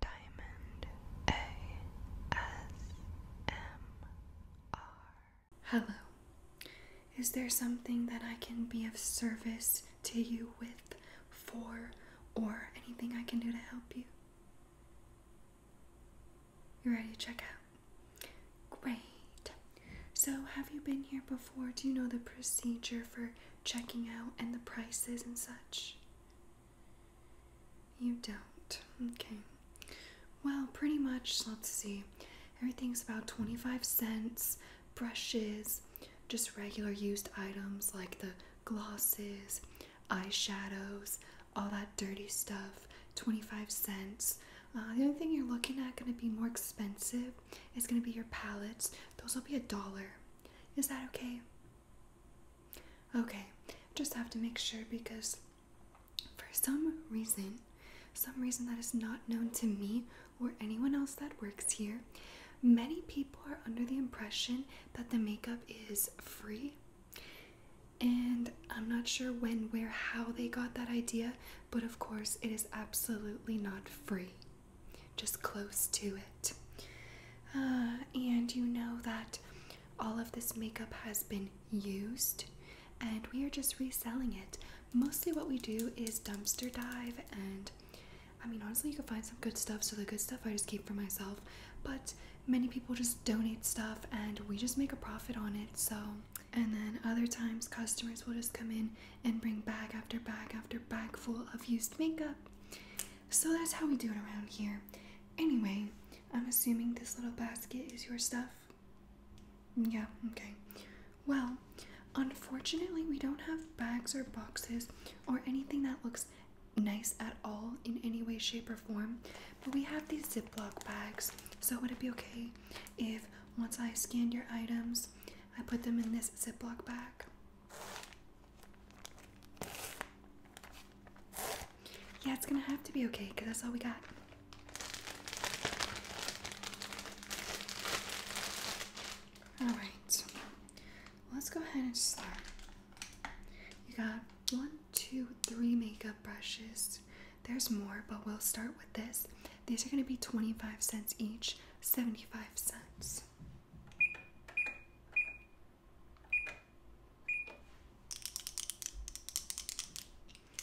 Diamond ASMR. Hello. Is there something that I can be of service to you with, for, or anything I can do to help you? You ready to check out? Great. So, have you been here before? Do you know the procedure for checking out and the prices and such? You don't. Okay. Well, pretty much, let's see. Everything's about 25 cents. Brushes, just regular used items like the glosses, eyeshadows, all that dirty stuff. 25 cents. Uh, the only thing you're looking at going to be more expensive is going to be your palettes. Those will be a dollar. Is that okay? Okay, just have to make sure because for some reason, some reason that is not known to me or anyone else that works here, many people are under the impression that the makeup is free. And I'm not sure when, where, how they got that idea, but of course, it is absolutely not free. Just close to it. Uh, and you know that all of this makeup has been used and we are just reselling it. Mostly what we do is dumpster dive and I mean honestly you can find some good stuff so the good stuff I just keep for myself but many people just donate stuff and we just make a profit on it so and then other times customers will just come in and bring bag after bag after bag full of used makeup so that's how we do it around here. Anyway, I'm assuming this little basket is your stuff. Yeah, okay. Well, unfortunately, we don't have bags or boxes or anything that looks nice at all in any way, shape, or form. But we have these Ziploc bags. So, would it be okay if once I scanned your items, I put them in this Ziploc bag? Yeah, it's gonna have to be okay because that's all we got. Alright, let's go ahead and start. You got one, two, three makeup brushes. There's more, but we'll start with this. These are gonna be 25 cents each, 75 cents.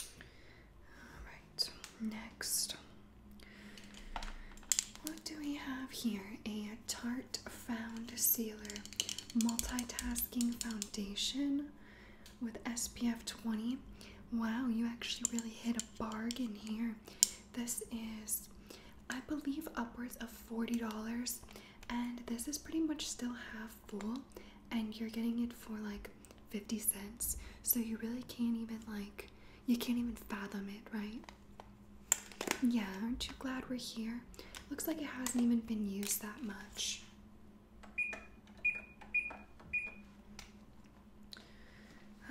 All right, next. What do we have here? A Tarte Found Sealer Multitasking Foundation with SPF 20. Wow, you actually really hit a bargain here. This is, I believe, upwards of $40 and this is pretty much still half full and you're getting it for like 50 cents so you really can't even like you can't even fathom it right yeah aren't you glad we're here looks like it hasn't even been used that much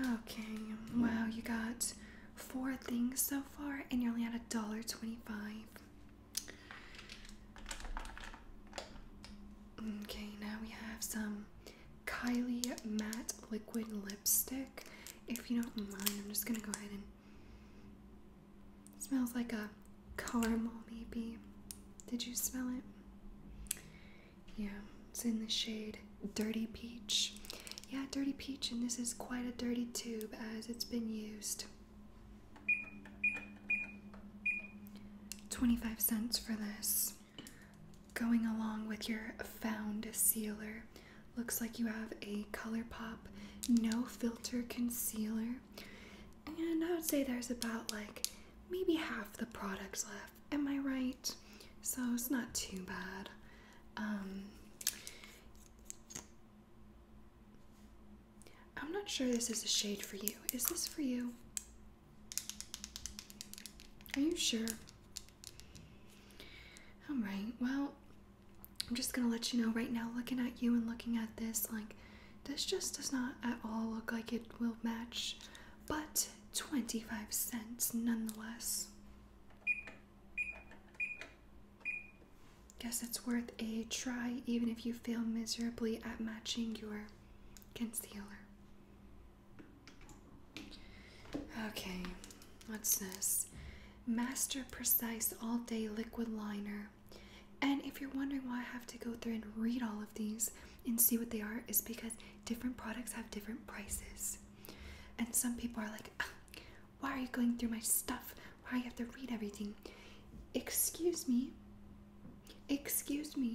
okay wow you got four things so far, and you're only at a dollar twenty-five. Okay, now we have some Kylie Matte Liquid Lipstick. If you don't mind, I'm just gonna go ahead and. smells like a caramel, maybe. Did you smell it? Yeah, it's in the shade Dirty Peach. Yeah, dirty peach, and this is quite a dirty tube as it's been used. 25 cents for this. Going along with your found sealer. Looks like you have a ColourPop no filter concealer. And I would say there's about like maybe half the product left. Am I right? So it's not too bad. Um, I'm not sure this is a shade for you. Is this for you? Are you sure? Alright, well, I'm just gonna let you know right now, looking at you and looking at this, like, this just does not at all look like it will match, but 25 cents nonetheless guess it's worth a try even if you fail miserably at matching your concealer. Okay, what's this? Master Precise All Day Liquid Liner. And if you're wondering why I have to go through and read all of these and see what they are, is because different products have different prices. And some people are like, ah, why are you going through my stuff? Why do you have to read everything? Excuse me. Excuse me.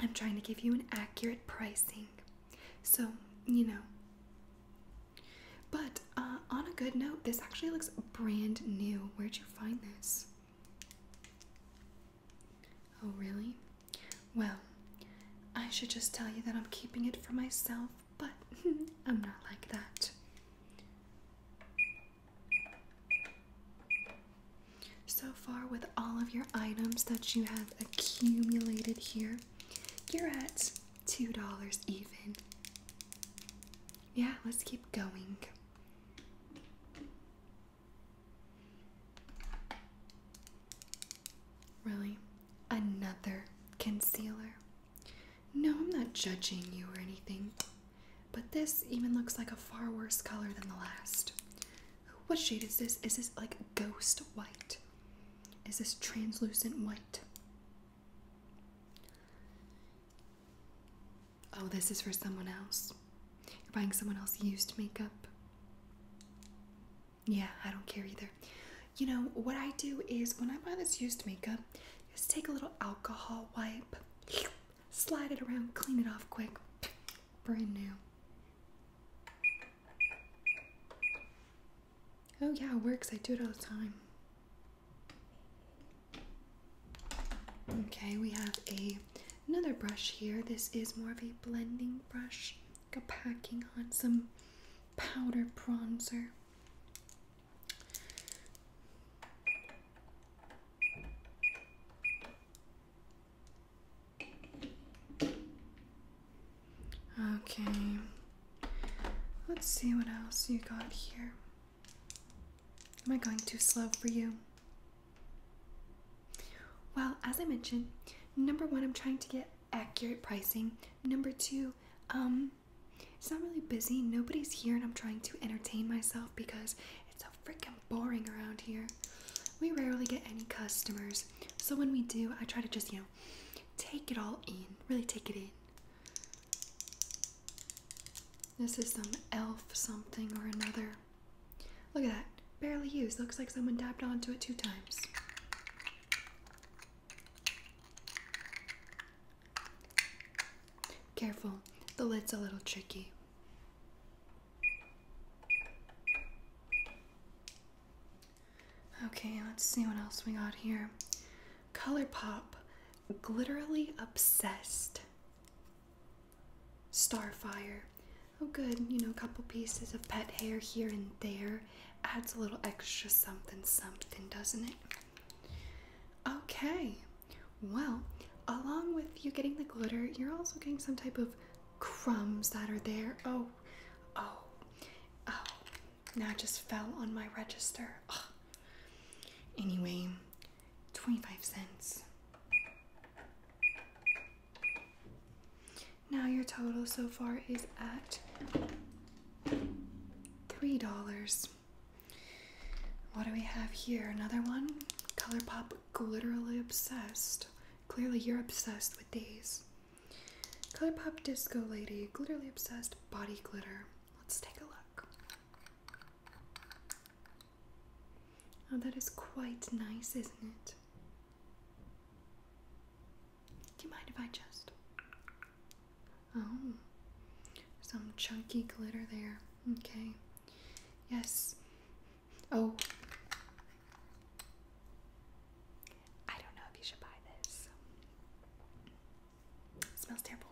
I'm trying to give you an accurate pricing. So, you know. But uh, on a good note, this actually looks brand new. Where'd you find this? Oh, really? Well, I should just tell you that I'm keeping it for myself but I'm not like that. So far, with all of your items that you have accumulated here, you're at $2 even. Yeah, let's keep going. Really? Another concealer. No, I'm not judging you or anything, but this even looks like a far worse color than the last. What shade is this? Is this like ghost white? Is this translucent white? Oh, this is for someone else. You're buying someone else's used makeup. Yeah, I don't care either. You know, what I do is when I buy this used makeup, just take a little alcohol wipe, slide it around, clean it off quick. Brand new. Oh, yeah, it works. I do it all the time. Okay, we have a another brush here. This is more of a blending brush, like a packing on some powder bronzer. Okay, let's see what else you got here. Am I going too slow for you? Well, as I mentioned, number one, I'm trying to get accurate pricing. Number two, um, it's not really busy, nobody's here, and I'm trying to entertain myself because it's so freaking boring around here. We rarely get any customers, so when we do, I try to just, you know, take it all in, really take it in. This is some elf something or another. Look at that, barely used. Looks like someone dabbed onto it two times. Careful, the lid's a little tricky. Okay, let's see what else we got here. Color Pop, glitterly obsessed. Starfire. Oh, good, you know, a couple pieces of pet hair here and there adds a little extra something something, doesn't it? Okay, well, along with you getting the glitter, you're also getting some type of crumbs that are there. Oh, oh, oh, now it just fell on my register. Anyway, 25 cents. Now your total so far is at Three dollars. What do we have here? Another one? Colourpop glitterly obsessed. Clearly you're obsessed with these. Colourpop Disco Lady, glitterly obsessed body glitter. Let's take a look. Oh, that is quite nice, isn't it? Do you mind if I just. Oh, some chunky glitter there. Okay. Yes. Oh. I don't know if you should buy this. smells terrible.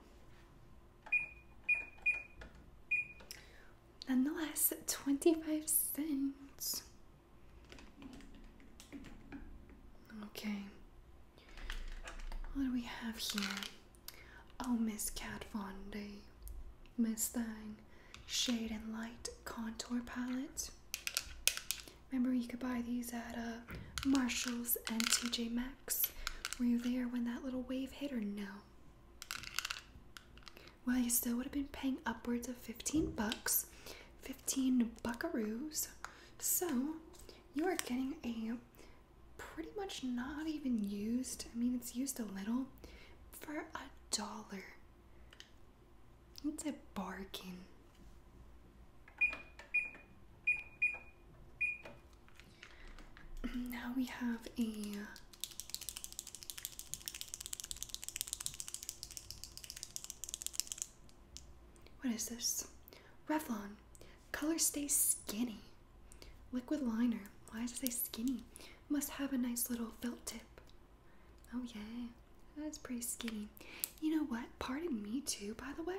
Nonetheless, 25 cents. Okay. What do we have here? Oh, Miss Kat Von D. Miss Thing, Shade and Light Contour Palette. Remember, you could buy these at uh, Marshalls and TJ Maxx. Were you there when that little wave hit or no? Well, you still would have been paying upwards of 15 bucks, 15 buckaroos. So, you are getting a pretty much not even used, I mean, it's used a little for a dollar. It's a bargain. Now we have a what is this? Revlon. Color stays skinny. Liquid liner. Why does it say skinny? Must have a nice little felt tip. Oh, yeah. That's pretty skinny. You know what? Pardon me, too, by the way.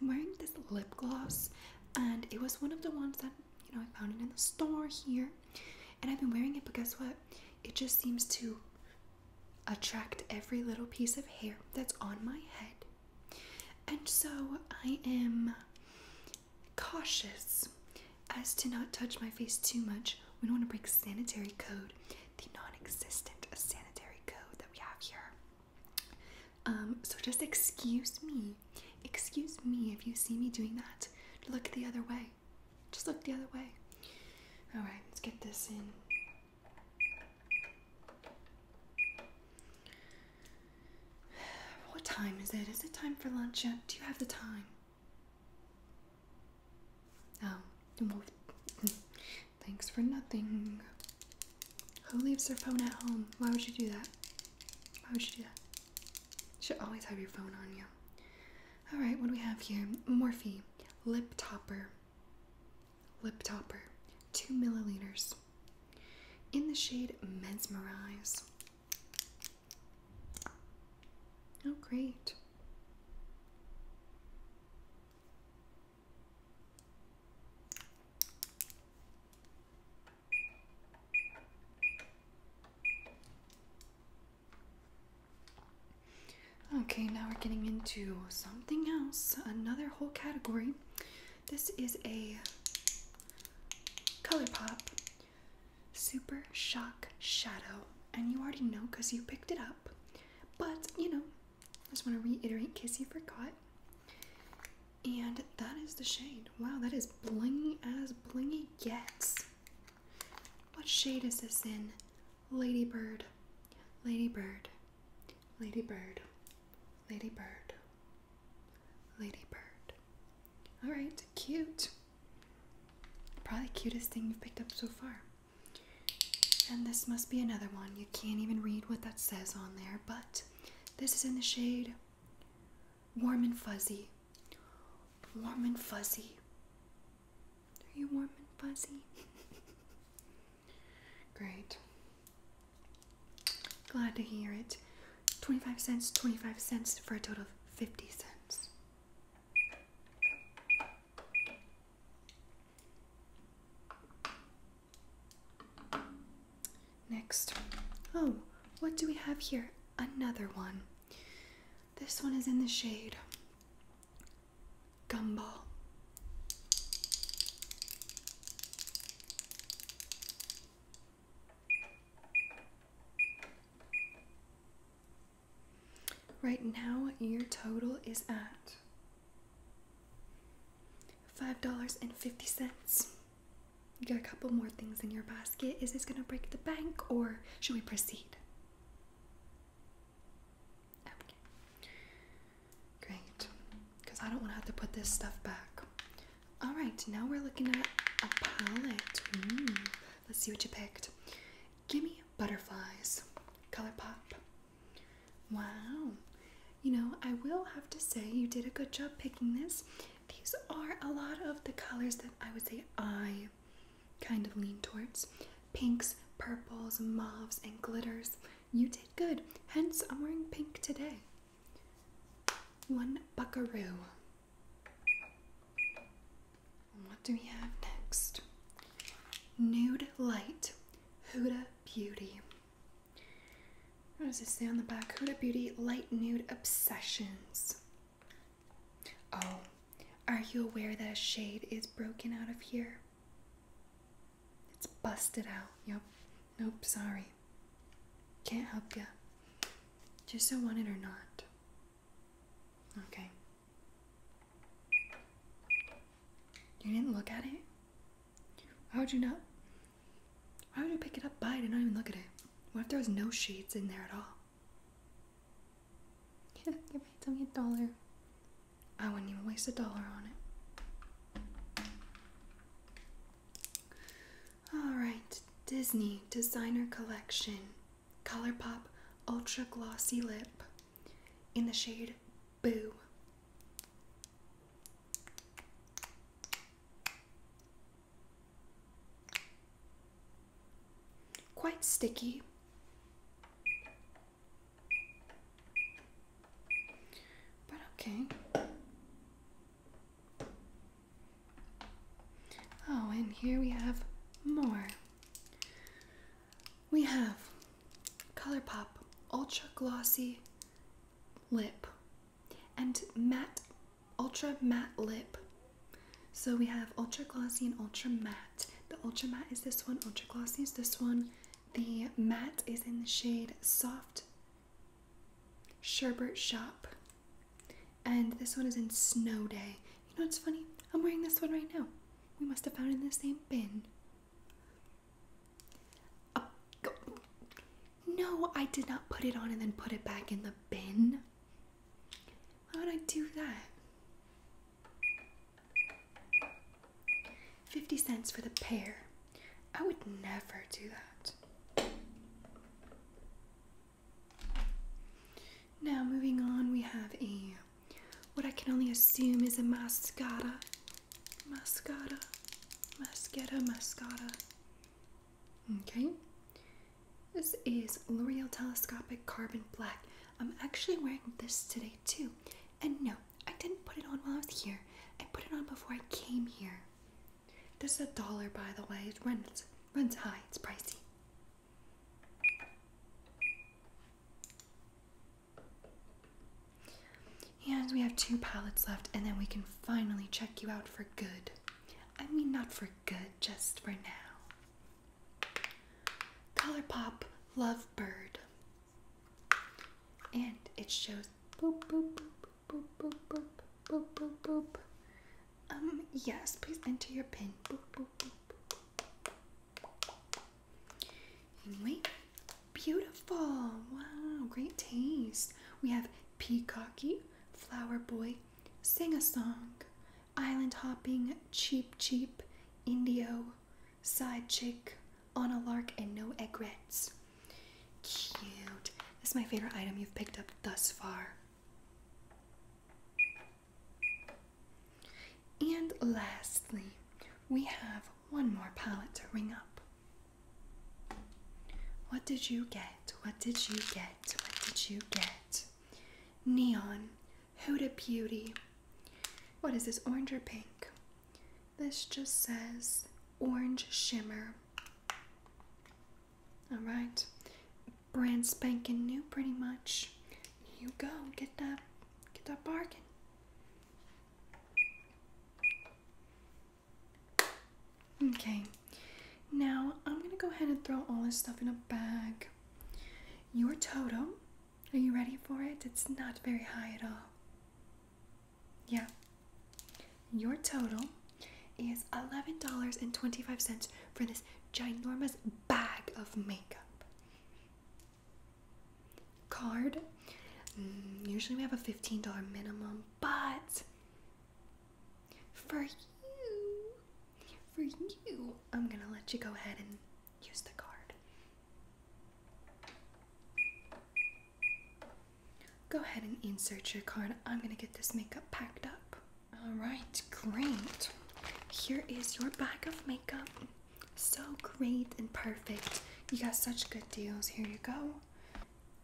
I'm wearing this lip gloss, and it was one of the ones that, you know, I found it in the store here. And I've been wearing it, but guess what? It just seems to attract every little piece of hair that's on my head. And so I am cautious as to not touch my face too much. We don't want to break sanitary code, the non existent sanitary code that we have here. Um, so just excuse me. Excuse me if you see me doing that. Look the other way. Just look the other way. Alright, let's get this in What time is it? Is it time for lunch yet? Do you have the time? Oh, thanks for nothing. Who leaves their phone at home? Why would you do that? Why would you do that? You should always have your phone on you. Alright, what do we have here? Morphe. Lip topper. Lip Topper, 2 milliliters. In the shade Mesmerize. Oh, great. Okay, now we're getting into something else, another whole category. This is a ColourPop Super Shock Shadow, and you already know because you picked it up, but you know, I just want to reiterate in case you forgot. And that is the shade. Wow, that is blingy as blingy gets. What shade is this in? Ladybird. Ladybird. Ladybird, ladybird, ladybird. All right, cute. Probably cutest thing you've picked up so far. And this must be another one. You can't even read what that says on there, but this is in the shade Warm and Fuzzy. Warm and Fuzzy. Are you warm and fuzzy? Great. Glad to hear it. 25 cents, 25 cents for a total of 50 cents. Next. Oh, what do we have here? Another one. This one is in the shade Gumball. Right now, your total is at $5.50. You got a couple more things in your basket. Is this going to break the bank or should we proceed? Okay. Great. Because I don't want to have to put this stuff back. Alright, now we're looking at a palette. Mm. Let's see what you picked. Gimme Butterflies. Colourpop. Wow. You know, I will have to say you did a good job picking this. These are a lot of the colors that I would say I kind of lean towards pinks, purples, mauves, and glitters. You did good, hence I'm wearing pink today. One buckaroo. What do we have next? Nude Light, Huda Beauty. What does it say on the back? Huda Beauty Light Nude Obsessions. Oh, are you aware that a shade is broken out of here? It's busted out. Yep. Nope, sorry. Can't help ya. Just so wanted or not. Okay. You didn't look at it? Why would you not? Why would you pick it up by it and not even look at it? What if there was no shades in there at all? Yeah, give my tummy a dollar. I wouldn't even waste a dollar on it. Alright, Disney Designer Collection Color Pop Ultra Glossy Lip in the shade Boo. Quite sticky. But okay. Oh, and here we have more. We have ColourPop Ultra Glossy Lip and Matte Ultra Matte Lip. So we have Ultra Glossy and Ultra Matte. The Ultra Matte is this one, Ultra Glossy is this one, the matte is in the shade Soft Sherbet Shop. And this one is in Snow Day. You know what's funny? I'm wearing this one right now. We must have found it in the same bin. Uh, no, I did not put it on and then put it back in the bin. Why would I do that? 50 cents for the pair. I would never do that. Now, moving on, we have a what I can only assume is a mascara. Mascara. Mascara, mascara. Okay. This is L'Oreal Telescopic Carbon Black. I'm actually wearing this today too. And no, I didn't put it on while I was here. I put it on before I came here. This is a dollar, by the way. It runs runs high. It's pricey. And we have two pallets left, and then we can finally check you out for good. I mean, not for good, just for now. Color Pop Love Bird. And it shows boop boop boop boop boop boop boop boop boop. Um, yes, please enter your pin. Boop boop boop. Anyway, beautiful. Wow, great taste. We have Peacocky, Flower Boy, Sing a Song, Island Hopping, Cheap Cheap, Indio, side chick on a lark and no egrets. Cute. This is my favorite item you've picked up thus far. And lastly, we have one more palette to ring up. What did you get? What did you get? What did you get? Neon, Huda Beauty. What is this, orange or pink? This just says orange shimmer. Alright, brand spanking new pretty much. you go, get that get that bargain. Okay, now I'm gonna go ahead and throw all this stuff in a bag. Your totem are you ready for it? It's not very high at all. Yeah. Your total is $11.25 for this ginormous bag of makeup. Card. Mm, usually we have a $15 minimum, but for you, for you, I'm gonna let you go ahead and use the card. Go ahead and insert your card. I'm gonna get this makeup packed up. Alright, great. Here is your bag of makeup. So great and perfect. You got such good deals. Here you go.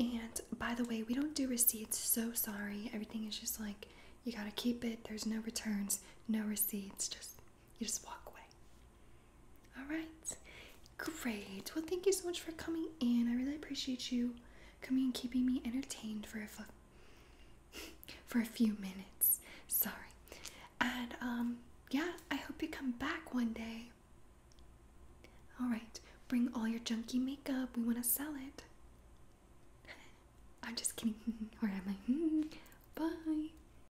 And by the way, we don't do receipts, so sorry. Everything is just like you gotta keep it. There's no returns, no receipts, just you just walk away. All right. Great. Well, thank you so much for coming in. I really appreciate you coming and keeping me entertained for a for a few minutes. Sorry. And um yeah, I hope you come back one day. All right. Bring all your junky makeup. We want to sell it. I'm just kidding. or am I? Bye.